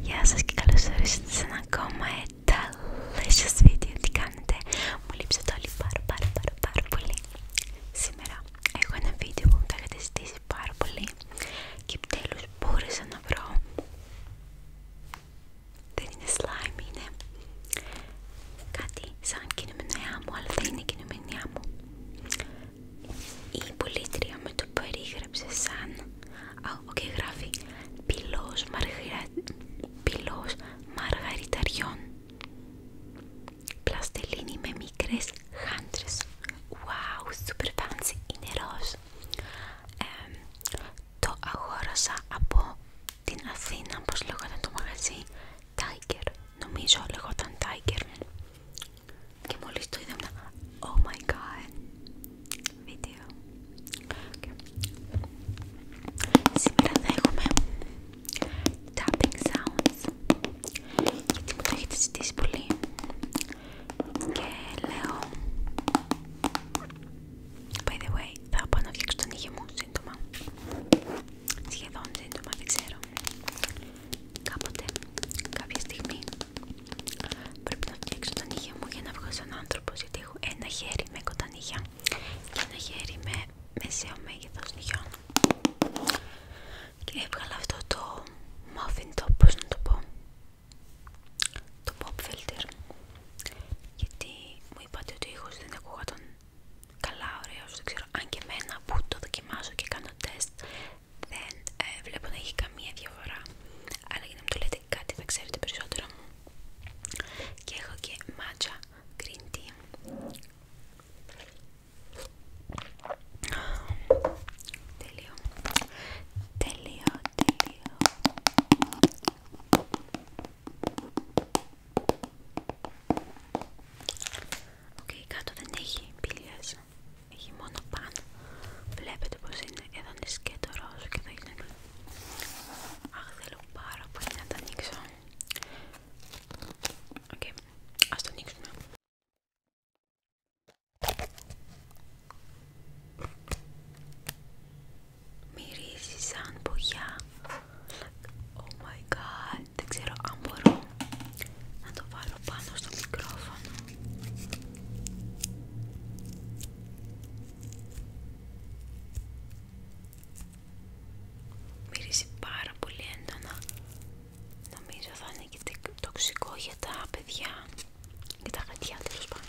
Γεια σας και καλώς ορίσατε σε ένα ακόμα delicious video Τι κάνετε, μου λείψατε όλοι πάρα πάρα πάρα πάρα πολύ Σήμερα έχω ένα βίντεο που μου το έχετε ζητήσει πάρα πολύ Και επιτέλους μπορούσα να βρω Δεν είναι slime, είναι κάτι σαν κινημενιά μου Αλλά δεν είναι κινημενιά μου η πολύτρία με το περίγραψε σαν... Α, οκ, γράφει πυλός, μαργαριταριών πλαστελίνη με μικρές χάντρες. Wow, super fancy, είναι ροζ. το αγόρασα από την Αθήνα, πως λεγόταν το μαγαζί, Tiger, νομίζω λεγόταν Tiger και μόλις το είδα Oh my god βίντεο Σήμερα θα έχουμε tapping sounds γιατί μου το έχετε ζητήσει πολύ και λέω By the way, θα πάω να φτιάξω τον ήγη μου σύντομα σχεδόν σύντομα, δεν ξέρω κάποτε, κάποια στιγμή Πρέπει να φτιάξω τα νύχια μου για να βγω σαν άνθρωπο. Γιατί έχω ένα χέρι με κοντανύχια και ένα χέρι με μεσαίο μέγεθο νυχιών. Και έβγαλα αυτό το μοφιντό, top, να το πω, το pop filter. Γιατί μου είπατε ότι ο ήχο δεν ακούγονταν καλά, ωραίο. ξέρω αν και εμένα που το δοκιμάζω και κάνω τεστ δεν ε, βλέπω να έχει καμία διαφορά αλλά για να μου το λέτε κάτι θα ξέρετε περισσότερο και έχω και matcha green tea Τελείω Τελείω, τελείω Οκ, κάτω δεν έχει πηλιάς έχει μόνο πάνω. Βλέπετε πως είναι εδώ είναι σκέτο ρόζο και εδώ είναι Αχ, θέλω πάρα πολύ να τα ανοίξω. Οκ, ας το ανοίξουμε. Μυρίζει σαν πογιά. Oh my god, δεν ξέρω αν μπορώ να το βάλω πάνω στο μικρόφωνο μυρίζει πάρα πολύ έντονα νομίζω θα είναι και τοξικό για τα παιδιά και τα γατιά τέλος πάντων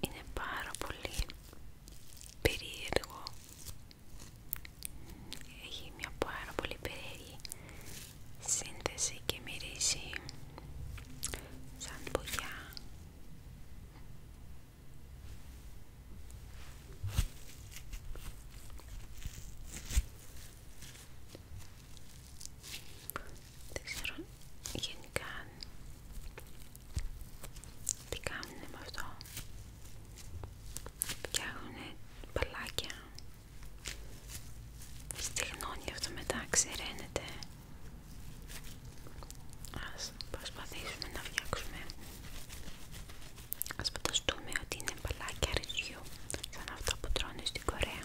Είναι πάρα πολύ περίεργο. Έχει μια πάρα πολύ περίεργη σύνθεση και μυρίζει σαν μπογιά δεν ξέρω γενικά τι κάνουνε με αυτό φτιάχνουνε μπαλάκια στεγνώνει αυτό μετά, ξεραίνεται ας προσπαθήσουμε να φτιάξουμε ας φανταστούμε ότι είναι μπαλάκια ρυζιού σαν αυτά που τρώνε στην Κορέα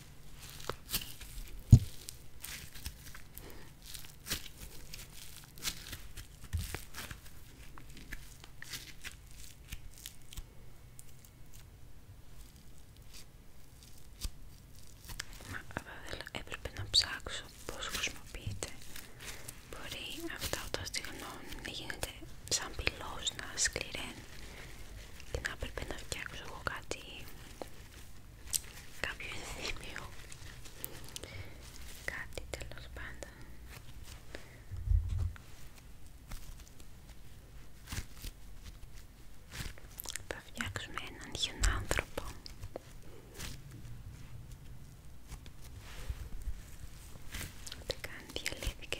Μα βέβαια έπρεπε να ψάξω πώς χρησιμοποιείται. Μπορεί αυτά όταν στιγνώνουν να γίνεται σαν πυλός να σκληραίνει και να έπρεπε να φτιάξω εγώ κάτι κάποιο ενθύμιο κάτι τέλος πάντων θα φτιάξουμε έναν χιονάνθρωπο ούτε καν διαλύθηκε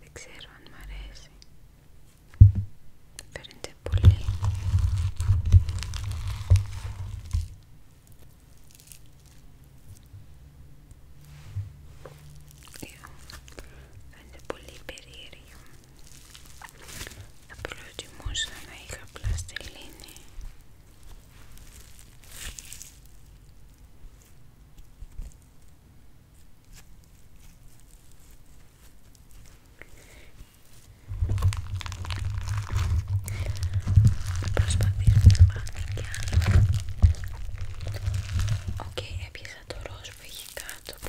Δεν ξέρω αν μ' αρέσει. Φαίνεται πολύ. Φαίνεται πολύ περίεργο. Θα προτιμούσα να είχα πλαστελίνη Προσπαθήσουμε να βάλουμε κι άλλο. Οκ, okay, έπιασα το ροζ που έχει κάτω που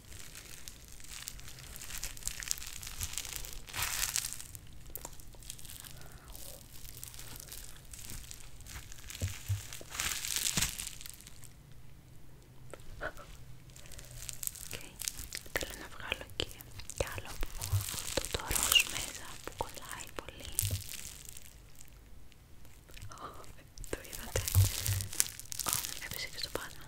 Okay. Θέλω να βγάλω και κι άλλο αυτό το ροζ μέσα που κολλάει πολύ. Oh, το είδατε. Oh, έπεσε και στο πάνω.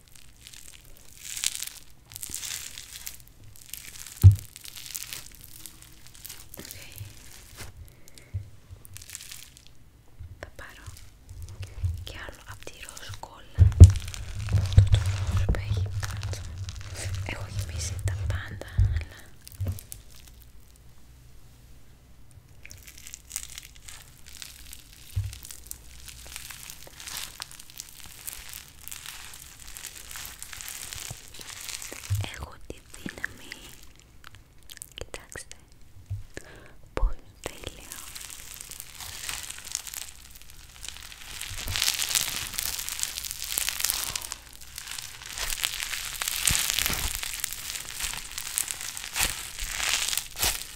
Θα πάρω και άλλο από τη το τουρνός που έχει κάτω. Έχω γεμίσει τα πάντα, αλλά Έχω τη δύναμη, κοιτάξτε, πολύ τέλεια.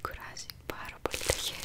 Κουράζει πάρα πολύ τα χέρια.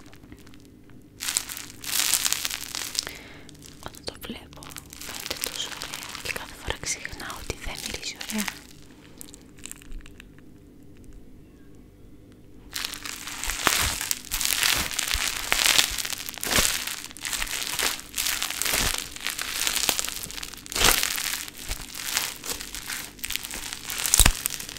Όταν το βλέπω φαίνεται τόσο ωραία και κάθε φορά ξεχνάω ότι δεν μυρίζει ωραία.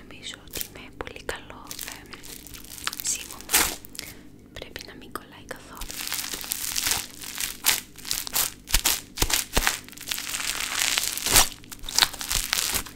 Νομίζω ότι με πολύ καλό ε, πρέπει να μην κολλάει καθόλου.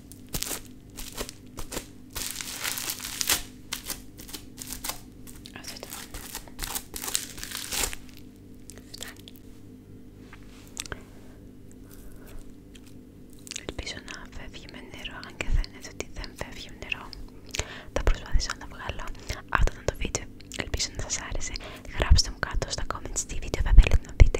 Ελπίζω να φεύγει με νερό, αν και φαίνεται ότι δεν φεύγει με νερό. Θα προσπαθήσω να βγάλω αυτό το βίντεο. Ελπίζω να σας άρεσε. Γράψτε μου κάτω στα comments τι βίντεο θα θέλετε να δείτε.